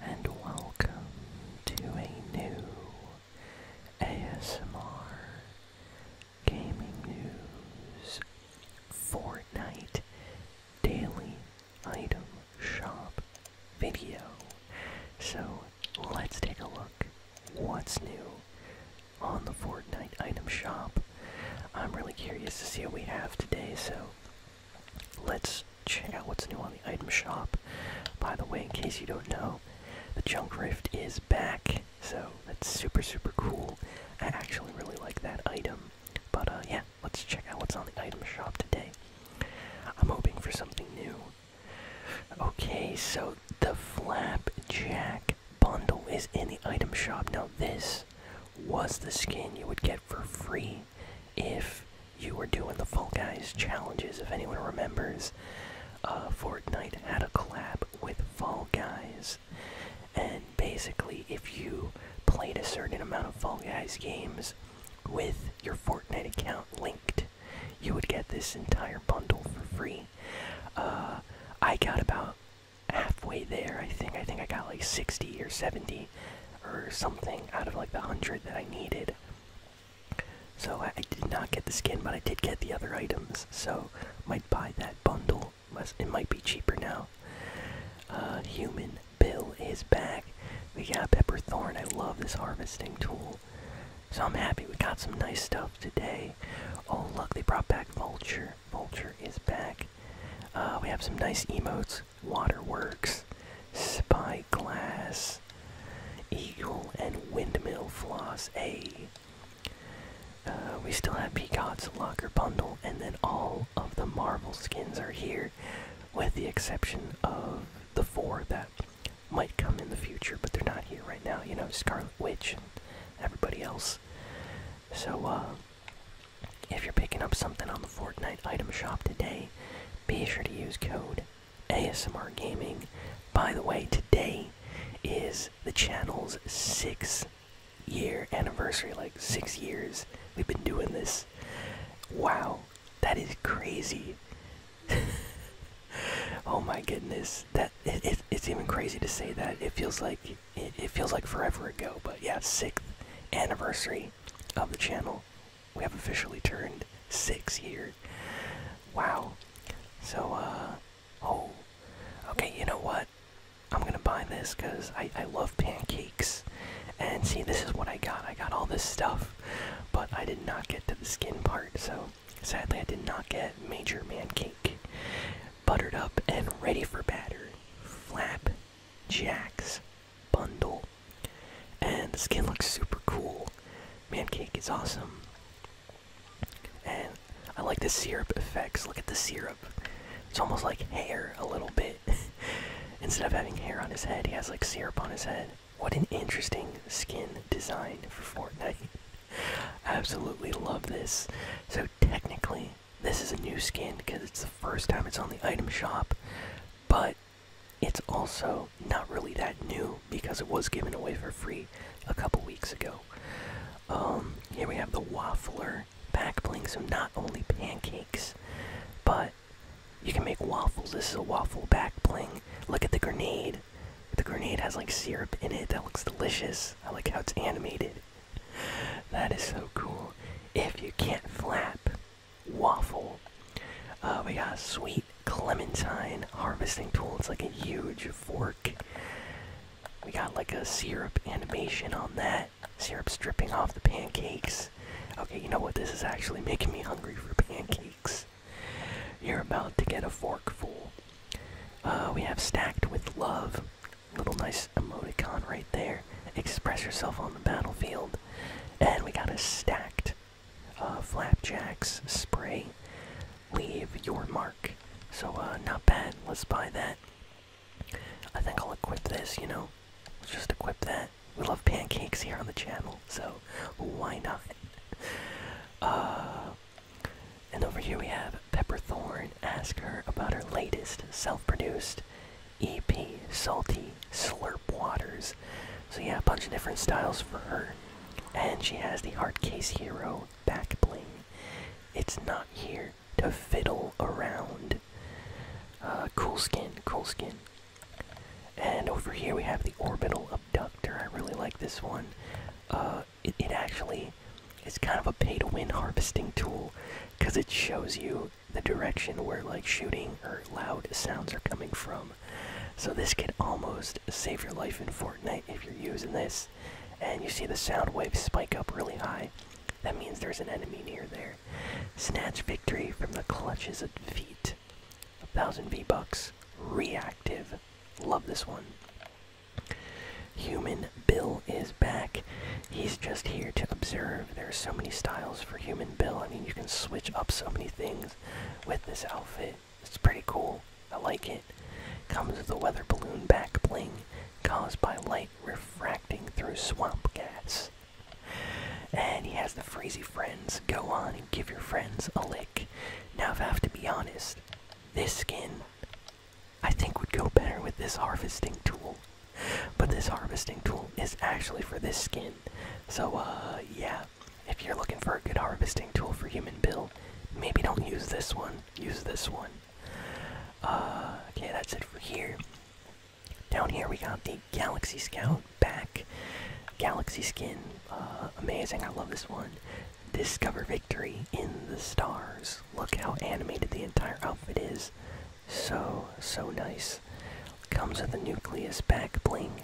and welcome to a new ASMR Gaming News Fortnite Daily Item Shop video. So let's take a look what's new on the Fortnite item shop. I'm really curious to see what we have today, so Let's check out what's new on the item shop. By the way, in case you don't know, the Junk Rift is back, so that's super, super cool. I actually really like that item. But uh, yeah, let's check out what's on the item shop today. I'm hoping for something new. Okay, so the Flapjack bundle is in the item shop. Now, this was the skin you would get for free if you were doing the Fall Guys challenges. If anyone remembers, uh, Fortnite had a collab with Fall Guys, and basically, if you played a certain amount of Fall Guys games with your Fortnite account linked, you would get this entire bundle for free. Uh, I got about halfway there, I think. I think I got like 60 or 70 or something out of like the 100 that I needed. So I, did not get the skin, but I did get the other items. So might buy that bundle. Must, it might be cheaper now. Uh, human Bill is back. We got Pepper Thorn. I love this harvesting tool. So I'm happy we got some nice stuff today. Oh look, they brought back Vulture. Vulture is back. Uh, we have some nice emotes. Waterworks, spy glass, Eagle, and Windmill Floss A. Uh, we still have Peacock's Locker Bundle, and then all of the Marvel skins are here, with the exception of the four that might come in the future, but they're not here right now. You know, Scarlet Witch and everybody else. So, uh, if you're picking up something on the Fortnite item shop today, be sure to use code ASMR Gaming. By the way, today is the channel's 6 year anniversary. Like six years we've been doing this. Wow, that is crazy. oh my goodness, that it's even crazy to say that. It feels like it, feels like forever ago, but yeah, sixth anniversary of the channel. We have officially turned six years. Wow. So, uh, oh, okay, you know what? I'm gonna buy this because I, I love pancakes. And see, this is what I got. I got all this stuff, but I did not get to the skin part, so sadly, I did not get Major Man Cake. Buttered up and ready for batter. Flap Jax bundle. And the skin looks super cool. Man cake is awesome. And I like the syrup effects. Look at the syrup. It's almost like hair a little bit. Instead of having hair on his head, he has like syrup on his head. What an interesting skin design for Fortnite. I absolutely love this. So technically, this is a new skin because it's the first time it's on the item shop, but it's also not really that new because it was given away for free a couple weeks ago. Um, here we have the Waffler back Bling, so not only pancakes, but you can make waffles. This is a waffle back bling. Look at the grenade. The grenade has like syrup in it. That looks delicious. I like how it's animated that is so cool. If you can't flap, waffle. Uh, we got a sweet clementine harvesting tool. It's like a huge fork. We got like a syrup animation on that. Syrup's dripping off the pancakes. Okay, you know what? This is actually making me hungry for pancakes. You're about to get a forkful. Uh, we have stacked with love. Little nice emoticon right there. Express yourself on the battlefield. And we got a stacked uh, flapjacks spray. Leave your mark. So, uh, not bad. Let's buy that. I think I'll equip this, you know? Let's just equip that. We love pancakes here on the channel, so why not? Uh, and over here we have Pepper Thorn. ask her about her latest self-produced EP, Salty Slurp Waters. So yeah, a bunch of different styles for her. And she has the Art Case Hero back bling. It's not here to fiddle around. Uh, cool skin, cool skin. And over here we have the Orbital Abductor. I really like this one. Uh, it, it actually is kind of a pay to win harvesting tool because it shows you the direction where like shooting or loud sounds are coming from. So this could almost save your life in Fortnite if you're using this. And you see the sound waves spike up really high. That means there's an enemy near there. Snatch victory from the clutches of defeat. A thousand V-Bucks. Reactive. Love this one. Human Bill is back. He's just here to observe. There are so many styles for Human Bill. I mean, you can switch up so many things with this outfit. It's pretty cool. I like it. Comes with a weather balloon back bling caused by light refracting through swamp gas. And he has the Freezy Friends go on give your friends a lick. Now, if I have to be honest, this skin I think would go better with this harvesting tool. But this harvesting tool is actually for this skin. So, uh, yeah, if you're looking for a good harvesting tool for human bill, maybe don't use this one, use this one. Uh, okay, that's it for here. Down here we got the Galaxy Scout back, Galaxy skin, uh, amazing. I love this one. Discover victory in the stars. Look how animated the entire outfit is. So, so nice. Comes with a nucleus back bling.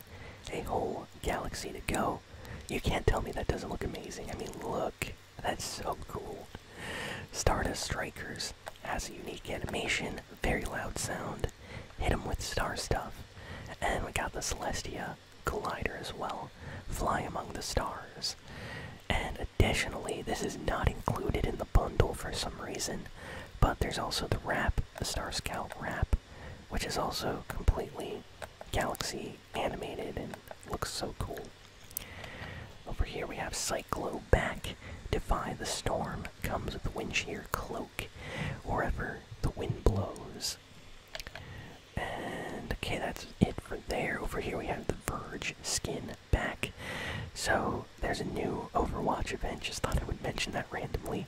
A whole galaxy to go. You can't tell me that doesn't look amazing. I mean, look. That's so cool. Stardust Strikers has a unique animation, very loud sound, Cloud, hit him with star stuff. And we got the Celestia Collider as well, Fly Among the Stars. And additionally, this is not included in the bundle for some reason, but there's also the wrap, the Star Scout wrap, which is also completely galaxy animated and looks so cool. Over here we have Cyclo back, Defy the Storm, comes with the wind shear cloak wherever the wind blows. And okay, that's it for there. Over here we have the Verge skin back. So there's a new Overwatch event. Just thought I would mention that randomly.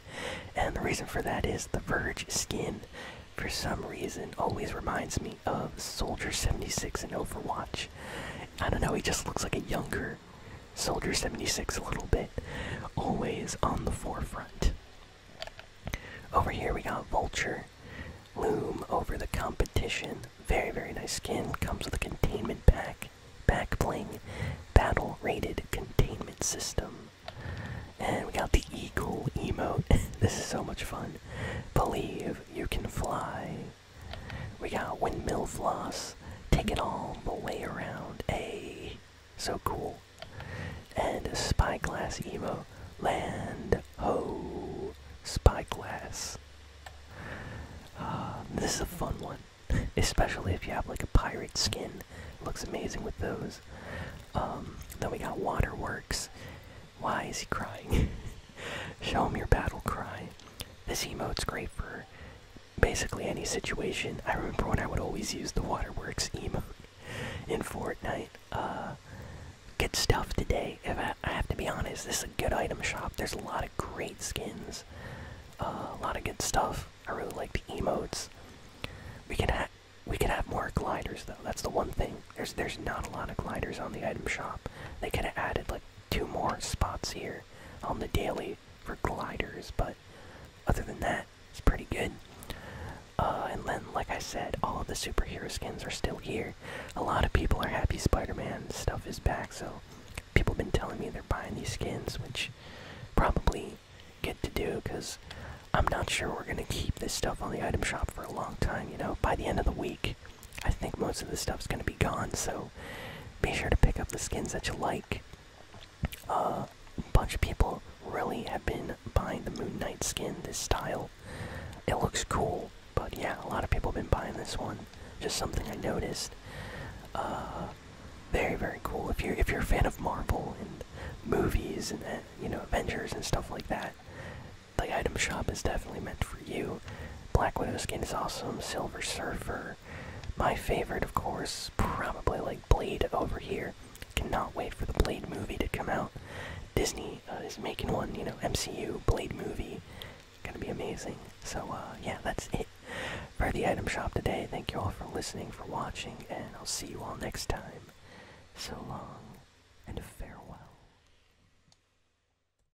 And the reason for that is the Verge skin, for some reason, always reminds me of Soldier 76 in Overwatch. I don't know, he just looks like a younger Soldier, 76 a little bit, always on the forefront. Over here we got Vulture, Loom over the competition. Very, very nice skin. Comes with a containment pack, back bling, battle rated containment system. And we got the eagle emote. this is so much fun. Believe you can fly. We got windmill floss. Take it all the way around. A so cool. And Spyglass Emo. Land ho! Spyglass. Uh, this is a fun one. Especially if you have like a pirate skin. Looks amazing with those. Um, then we got Waterworks. Why is he crying? Show him your battle cry. This emote's great for basically any situation. I remember when I would always use the Waterworks emote in Fortnite. Uh, good stuff today. If I, have to be honest, this is a good item shop. There's a lot of great skins, uh, a lot of good stuff. I really like the emotes. We can have we could have more gliders though. That's the one thing. There's there's not a lot of gliders on the item shop. They could have added like two more spots here on the daily for gliders, but other than that, it's pretty good. Uh, and then, like I said, all of the superhero skins are still here. A lot of people are happy Spider-Man stuff is back, so people have been telling me they're buying these skins, which probably get to do, because I'm not sure we're going to keep this stuff on the item shop for a long time, you know? By the end of the week, I think most of the is going to be gone, so be sure to pick up the skins that you like. Uh, a bunch of people really have been buying the Moon Knight skin, this style. It looks cool, but yeah, a lot of people have been buying this one. Just something I noticed. Uh, very very cool. If you're if you're a fan of Marvel and movies and uh, you know Avengers and stuff like that, the item shop is definitely meant for you. Black Widow skin is awesome. Silver Surfer. My favorite, of course, probably like Blade over here. Cannot wait for the Blade movie to come out. Disney uh, is making one, you know, MCU Blade movie. Gonna be amazing. So, uh, yeah, that's it for the item shop today. Thank you all for listening, for watching, and I'll see you all next time. So long, and farewell.